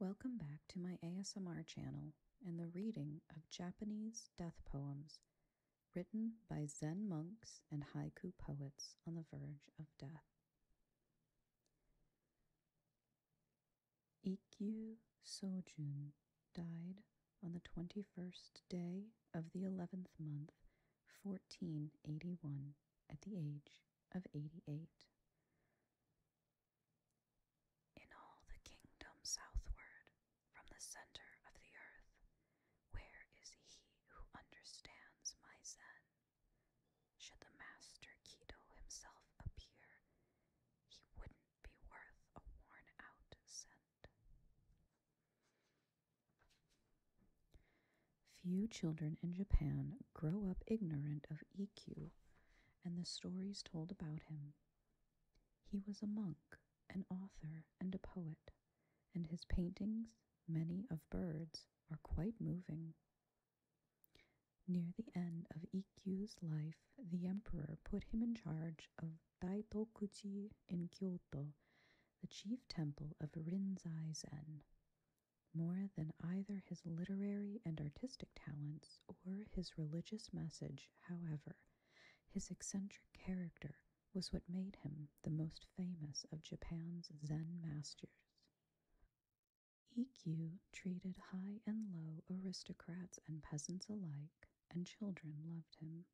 Welcome back to my ASMR channel and the reading of Japanese death poems written by Zen monks and haiku poets on the verge of death. Ikkyu Sojun died on the 21st day of the 11th month, 1481, at the age of 88. In all the kingdom southward from the center of the earth, where is he who understands my Zen? Should the master Kido himself appear, he wouldn't be worth a worn out cent. Few children in Japan grow up ignorant of EQ and the stories told about him. He was a monk, an author, and a poet, and his paintings, many of birds, are quite moving. Near the end of Ikkyu life, the emperor put him in charge of Daitokuji in Kyoto, the chief temple of Rinzai Zen more than either his literary and artistic talents or his religious message, however, his eccentric character was what made him the most famous of Japan's Zen masters. Ikkyu treated high and low aristocrats and peasants alike, and children loved him.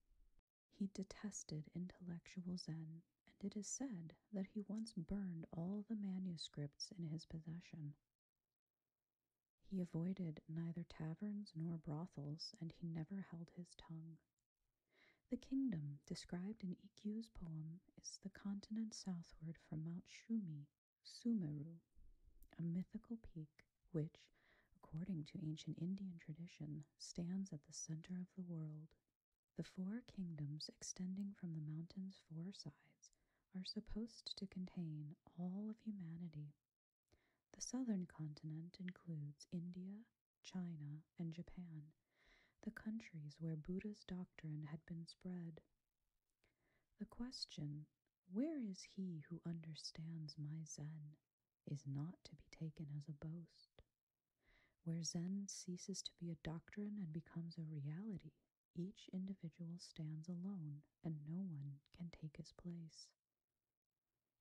He detested intellectual Zen, and it is said that he once burned all the manuscripts in his possession. He avoided neither taverns nor brothels, and he never held his tongue. The kingdom described in Ikkyo's poem is the continent southward from Mount Shumi, Sumeru, a mythical peak which, according to ancient Indian tradition, stands at the center of the world. The four kingdoms extending from the mountain's four sides are supposed to contain all of humanity. The southern continent includes India, China, and Japan, the countries where Buddha's doctrine had been spread. The question, Where is he who understands my Zen? is not to be taken as a boast. Where Zen ceases to be a doctrine and becomes a reality, each individual stands alone, and no one can take his place.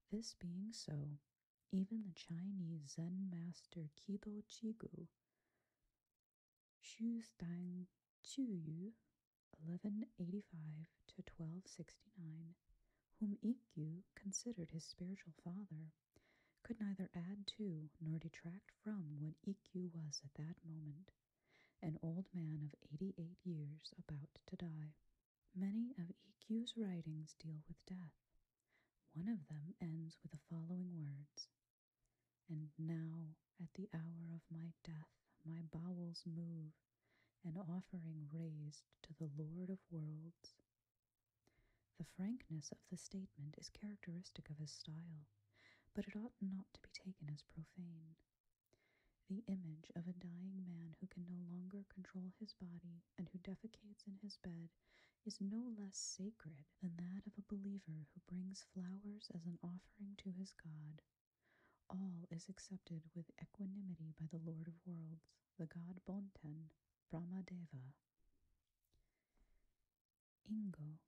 This being so, even the Chinese Zen master Kido Chiguo Shu Chuyu, 1185 1269, whom Ikkyu considered his spiritual father, could neither add to nor detract from what Ikkyu was at that moment an old man of 88 years about to die. Many of EQ's writings deal with death. One of them ends with the following words And now, at the hour of my death, my bowels move, an offering raised to the Lord of worlds. The frankness of the statement is characteristic of his style but it ought not to be taken as profane. The image of a dying man who can no longer control his body and who defecates in his bed is no less sacred than that of a believer who brings flowers as an offering to his God. All is accepted with equanimity by the Lord of Worlds, the god Bonten, Brahmadeva. Ingo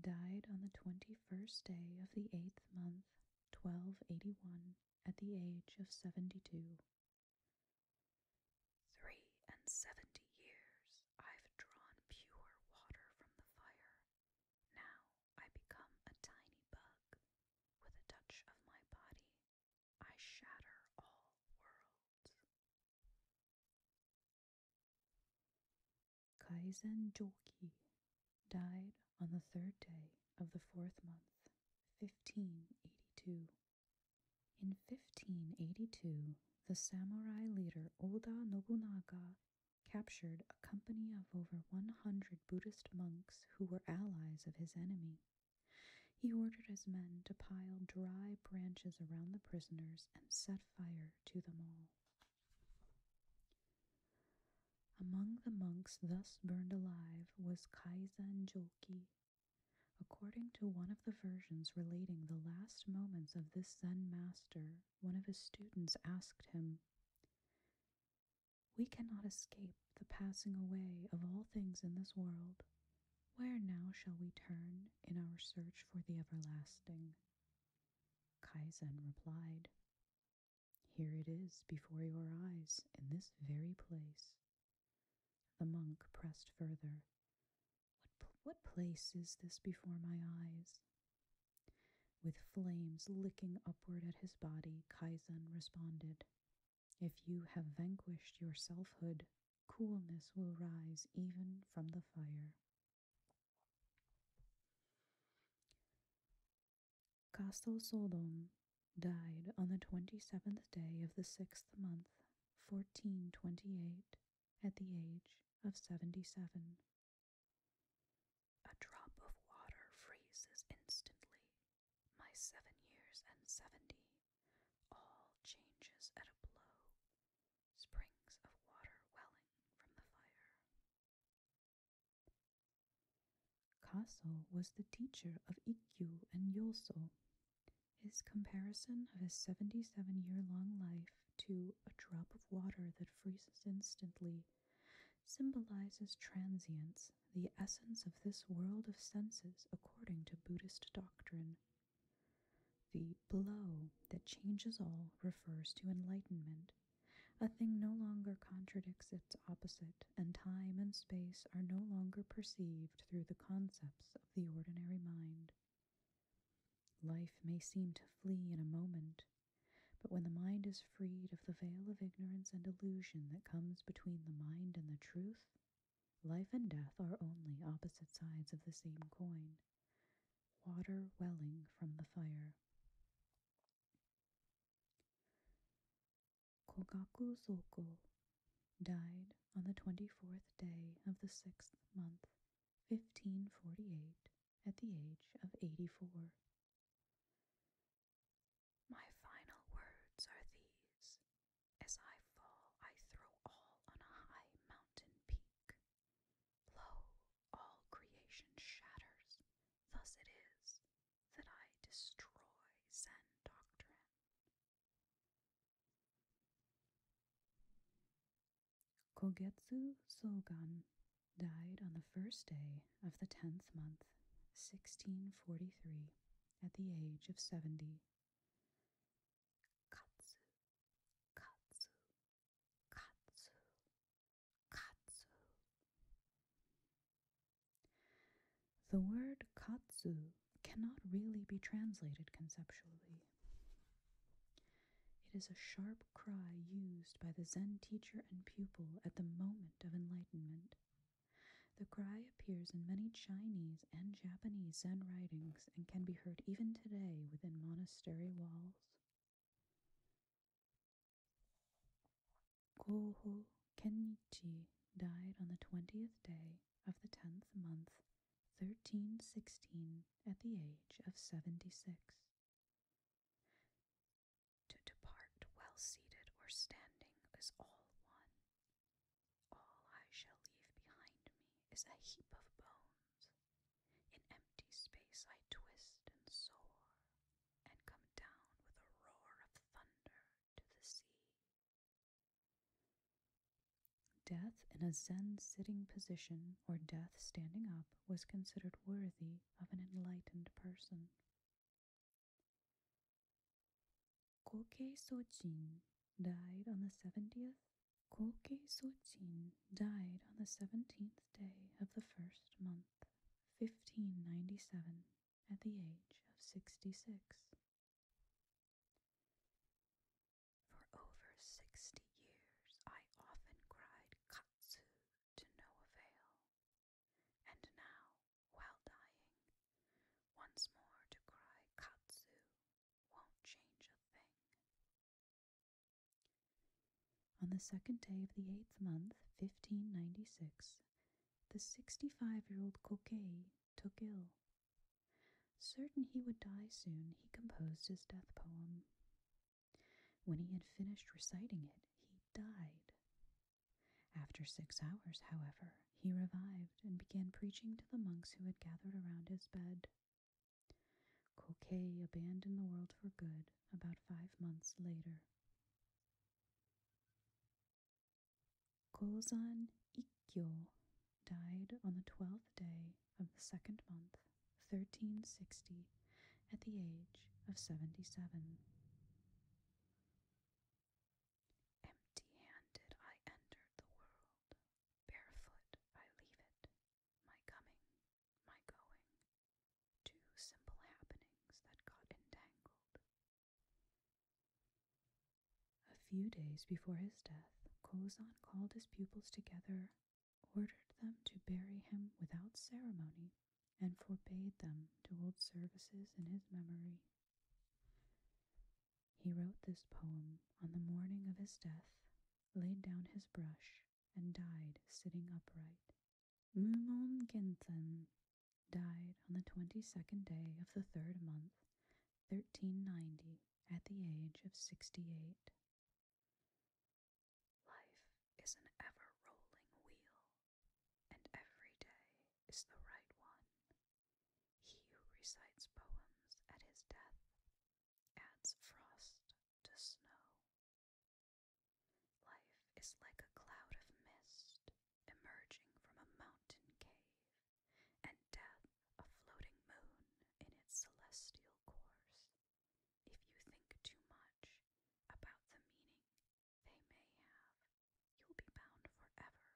died on the 21st day of the 8th month, 1281, at the age of 72. Three and seventy years I've drawn pure water from the fire. Now I become a tiny bug. With a touch of my body, I shatter all worlds. Kaizen Joki died on the third day of the fourth month, 1582. In 1582, the samurai leader Oda Nobunaga captured a company of over 100 Buddhist monks who were allies of his enemy. He ordered his men to pile dry branches around the prisoners and set fire to them all. Among the monks thus burned alive was Kaizen Jolki. According to one of the versions relating the last moments of this Zen master, one of his students asked him, We cannot escape the passing away of all things in this world. Where now shall we turn in our search for the everlasting? Kaizen replied, Here it is before your eyes, in this very place. The monk pressed further, What, place is this before my eyes? With flames licking upward at his body, Kaizen responded, If you have vanquished your selfhood, coolness will rise even from the fire. Castelsoldon died on the 27th day of the 6th month, 1428, at the age of 77. A drop of water freezes instantly. My seven years and seventy, all changes at a blow springs of water welling from the fire. Kaso was the teacher of Ikkyu and Yoso. His comparison of his 77 year long life to a drop of water that freezes instantly symbolizes transience, the essence of this world of senses according to Buddhist doctrine. The blow that changes all refers to enlightenment. A thing no longer contradicts its opposite, and time and space are no longer perceived through the concepts of the ordinary mind. Life may seem to flee in a moment, but when the mind is freed of the veil of ignorance and illusion that comes between the mind and the truth, life and death are only opposite sides of the same coin water welling from the fire. Kogaku Zoku died on the 24th day of the sixth month, 1548, at the age of 84. My final words are these As I fall, I throw all on a high mountain peak. Lo, all creation shatters. Thus it is that I destroy Zen doctrine. Kogetsu Sogan died on the first day of the tenth month, 1643, at the age of 70. Katsu, Katsu Katsu, katsu. The word katsu cannot really be translated conceptually. It is a sharp cry used by the Zen teacher and pupil at the moment of enlightenment. The cry appears in many Chinese and Japanese Zen writings and can be heard even today within monastery walls. Goho Kenichi died on the 20th day of the 10th month, 1316, at the age of 76. To depart well seated or standing is all one. All I shall leave behind me is a heap of bones, in empty space I twist and soar, and come down with a roar of thunder to the sea. Death in a Zen sitting position or death standing up was considered worthy of an enlightened person. Kokei Sojin died on the 70th Kolke Soitzin died on the seventeenth day of the first month, 1597, at the age of 66. For over sixty years I often cried katsu to no avail, and now, while dying, once more to cry katsu won't change a thing. On the second day of the eighth month, 1596, the sixty five year old Coquet took ill. Certain he would die soon, he composed his death poem. When he had finished reciting it, he died. After six hours, however, he revived and began preaching to the monks who had gathered around his bed. Coquet abandoned the world for good about five months later. Kozan Ikyo died on the twelfth day of the second month, 1360, at the age of 77. Empty handed I entered the world, barefoot I leave it, my coming, my going, two simple happenings that got entangled. A few days before his death, Kozan called his pupils together, ordered them to bury him without ceremony, and forbade them to hold services in his memory. He wrote this poem on the morning of his death laid down his brush, and died sitting upright. Mumon Gensen died on the twenty-second day of the third month, 1390, at the age of sixty-eight. Life is an ever-rolling wheel, and every day is the right one. He who recites poems at his death adds frost to snow. Life is like a cloud of mist emerging from a mountain cave, and death a floating moon in its celestial course. If you think too much about the meaning they may have, you'll be bound forever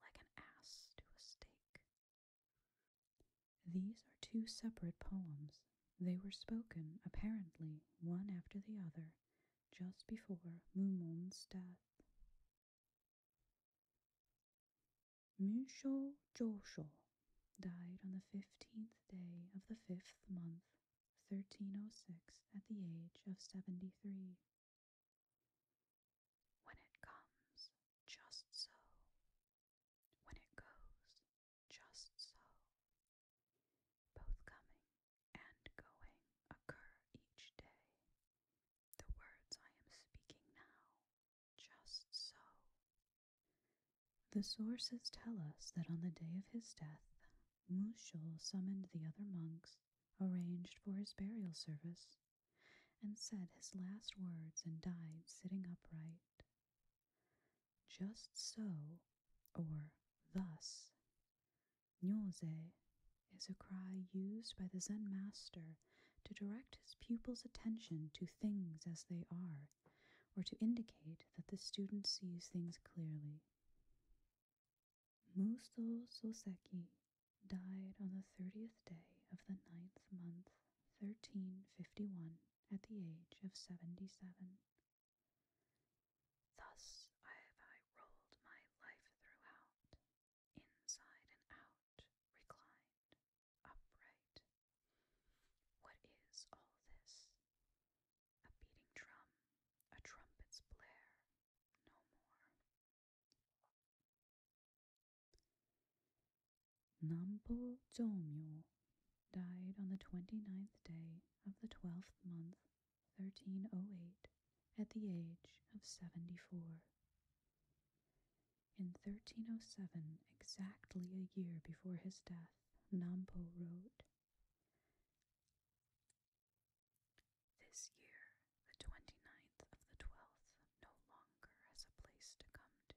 like an ass to a stake these are two separate poems. They were spoken, apparently, one after the other, just before Mumon's death. Musho Josho died on the fifteenth day of the fifth month, 1306, at the age of 73. When it comes, just so, when it goes just so. Both coming and going occur each day. The words I am speaking now, just so. The sources tell us that on the day of his death, Mushul summoned the other monks, arranged for his burial service, and said his last words and died sitting upright. Just so, or thus, Nyōze is a cry used by the Zen master to direct his pupil's attention to things as they are, or to indicate that the student sees things clearly. Muso Soseki died on the 30th day of the ninth month 1351 at the age of 77. Thus have I rolled my life throughout, inside and out, reclined, upright. What is all this? A beating drum, a trumpet's blare, no more. Nampo Jomyo died on the 29th day of the 12th month, 1308, at the age of 74. In 1307, exactly a year before his death, Nampo wrote, This year, the 29th of the 12th, no longer has a place to come to.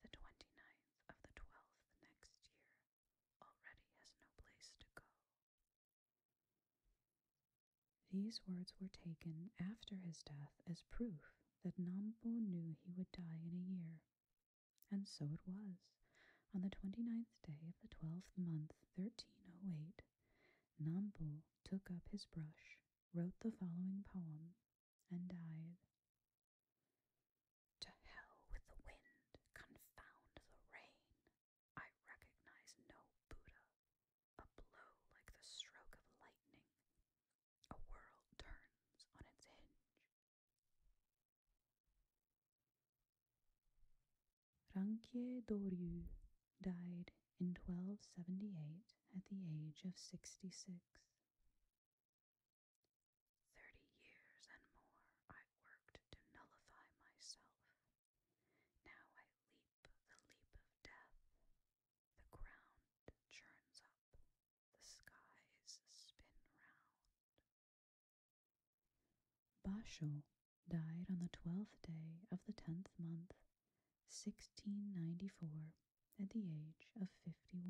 The twenty-ninth of the 12th next year already has no place to go. These words were taken after his death as proof that Nambo knew he would die in a year. And so it was. On the twenty-ninth day of the 12th month, 1308, Nambo took up his brush, wrote the following poem, and died. To hell with the wind, confound the rain. I recognize no Buddha. A blow like the stroke of lightning. A world turns on its hinge. Rankier Doryu died in 1278 at the age of 66. years and more I worked to nullify myself. Now I leap the leap of death. The ground churns up, the skies spin round. Basho died on the twelfth day of the tenth month, 1694, at the age of 51.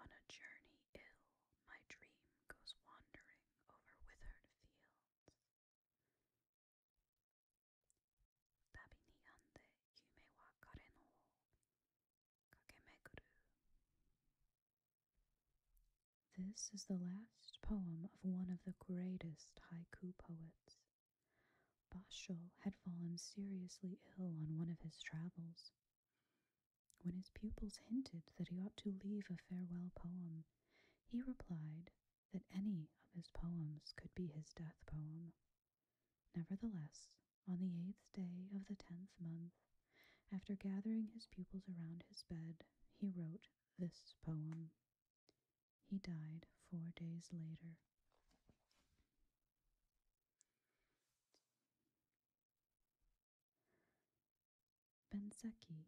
On a journey ill, my dream goes wandering over withered fields. This is the last poem of one of the greatest haiku poets, Basho had fallen seriously ill on one of his travels. When his pupils hinted that he ought to leave a farewell poem, he replied that any of his poems could be his death poem. Nevertheless, on the eighth day of the tenth month, after gathering his pupils around his bed, he wrote this poem he died four days later. Benseki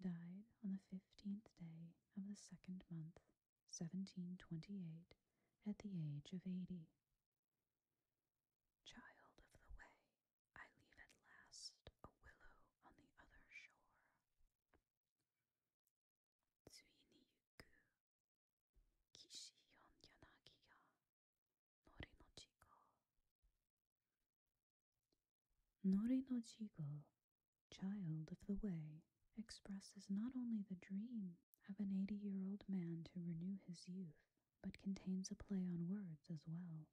died on the 15th day of the second month, 1728, at the age of 80. Child of the way, I leave at last a willow on the other shore. 주인이 있고 기시연 child of the way, expresses not only the dream of an 80-year-old man to renew his youth, but contains a play on words as well.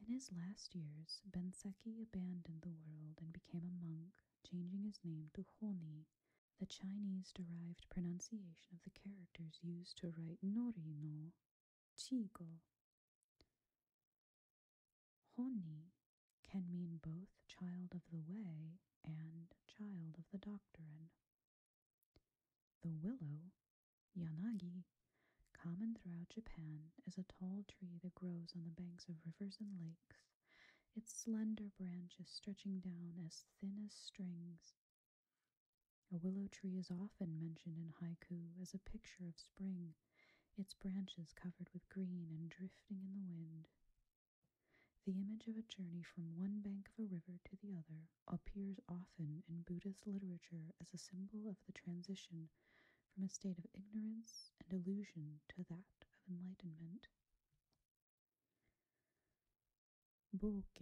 In his last years, Benseki abandoned the world and became a monk, changing his name to Honi, the Chinese derived pronunciation of the characters used to write Nori no Chigo. Honi can mean both child of the way and child of the doctrine. The willow, Yanagi, Common throughout Japan is a tall tree that grows on the banks of rivers and lakes, its slender branches stretching down as thin as strings. A willow tree is often mentioned in haiku as a picture of spring, its branches covered with green and drifting in the wind. The image of a journey from one bank of a river to the other appears often in Buddhist literature as a symbol of the transition from a state of ignorance and illusion to that of enlightenment. Boke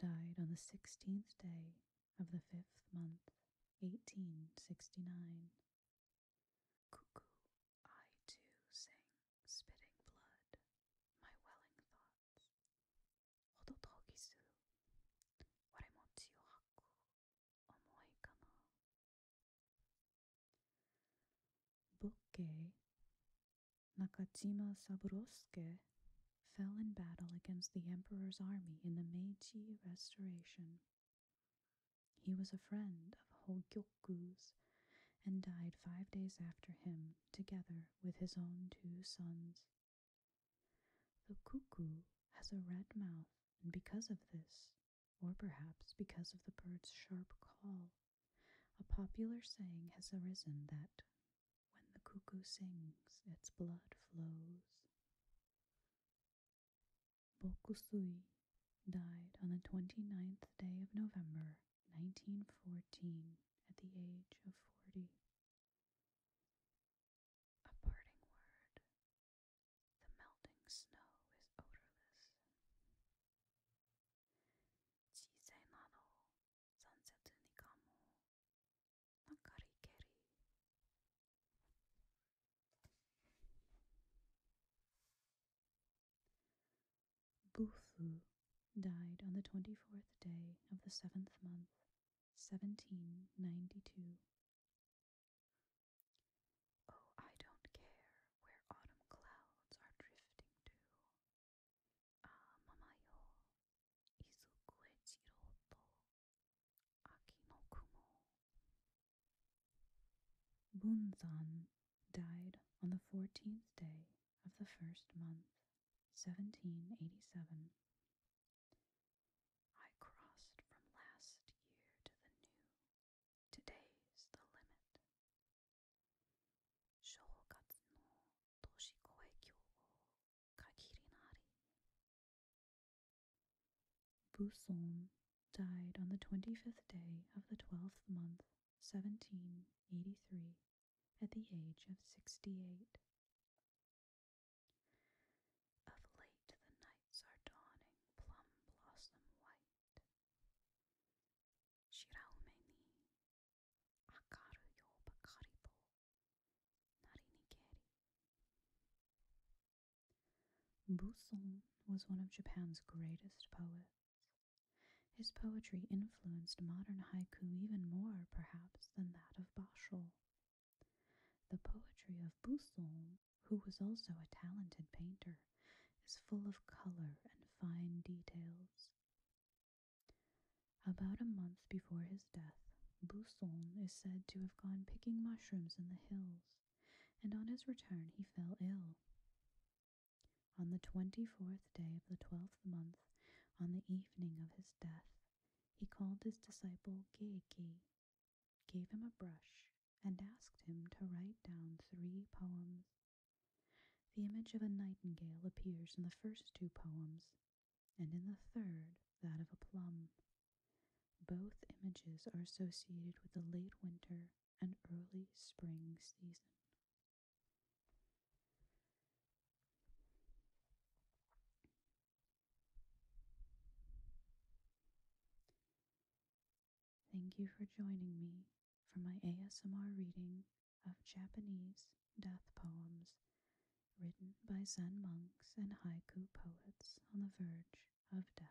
died on the sixteenth day of the fifth month, 1869. Cuckoo, I too sing, spitting blood, my welling thoughts. Nakajima 重いかなボッケ中島 Sabrosuke fell in battle against the emperor's army in the Meiji Restoration. He was a friend of Hogyoku's and died five days after him, together with his own two sons. The cuckoo has a red mouth and because of this, or perhaps because of the bird's sharp call, a popular saying has arisen that when the cuckoo sings, its blood flows. Bokusui died on the 29th day of November 1914 at the age of 40. A parting word the melting snow is odorless. Chizenado, Sansetsu Nikamu, Nakarikeri. Bufu died on the 24th day of the 7th month, 1792. Oh, where autumn clouds are drifting to. Ah, kumo. Bunzan died on the fourteenth day of the first month, 1787. I crossed from last year to the new. Today's the limit. Shogatsu Buson died on the 25th day of the 12th month, 1783, at the age of 68. Of late the nights are dawning plum blossom white. Buson was one of Japan's greatest poets. His poetry influenced modern haiku even more, perhaps, than that of Basho. The poetry of Bussolm, who was also a talented painter, is full of color and fine details. About a month before his death, Bussolm is said to have gone picking mushrooms in the hills, and on his return he fell ill. On the twenty fourth day of the twelfth month, on the evening of his death, he called his disciple Geiki gave him a brush, and asked him to write down three poems. The image of a nightingale appears in the first two poems, and in the third, that of a plum. Both images are associated with the late winter and early spring season. Thank you for joining me for my ASMR reading of Japanese death poems written by Zen monks and haiku poets on the verge of death.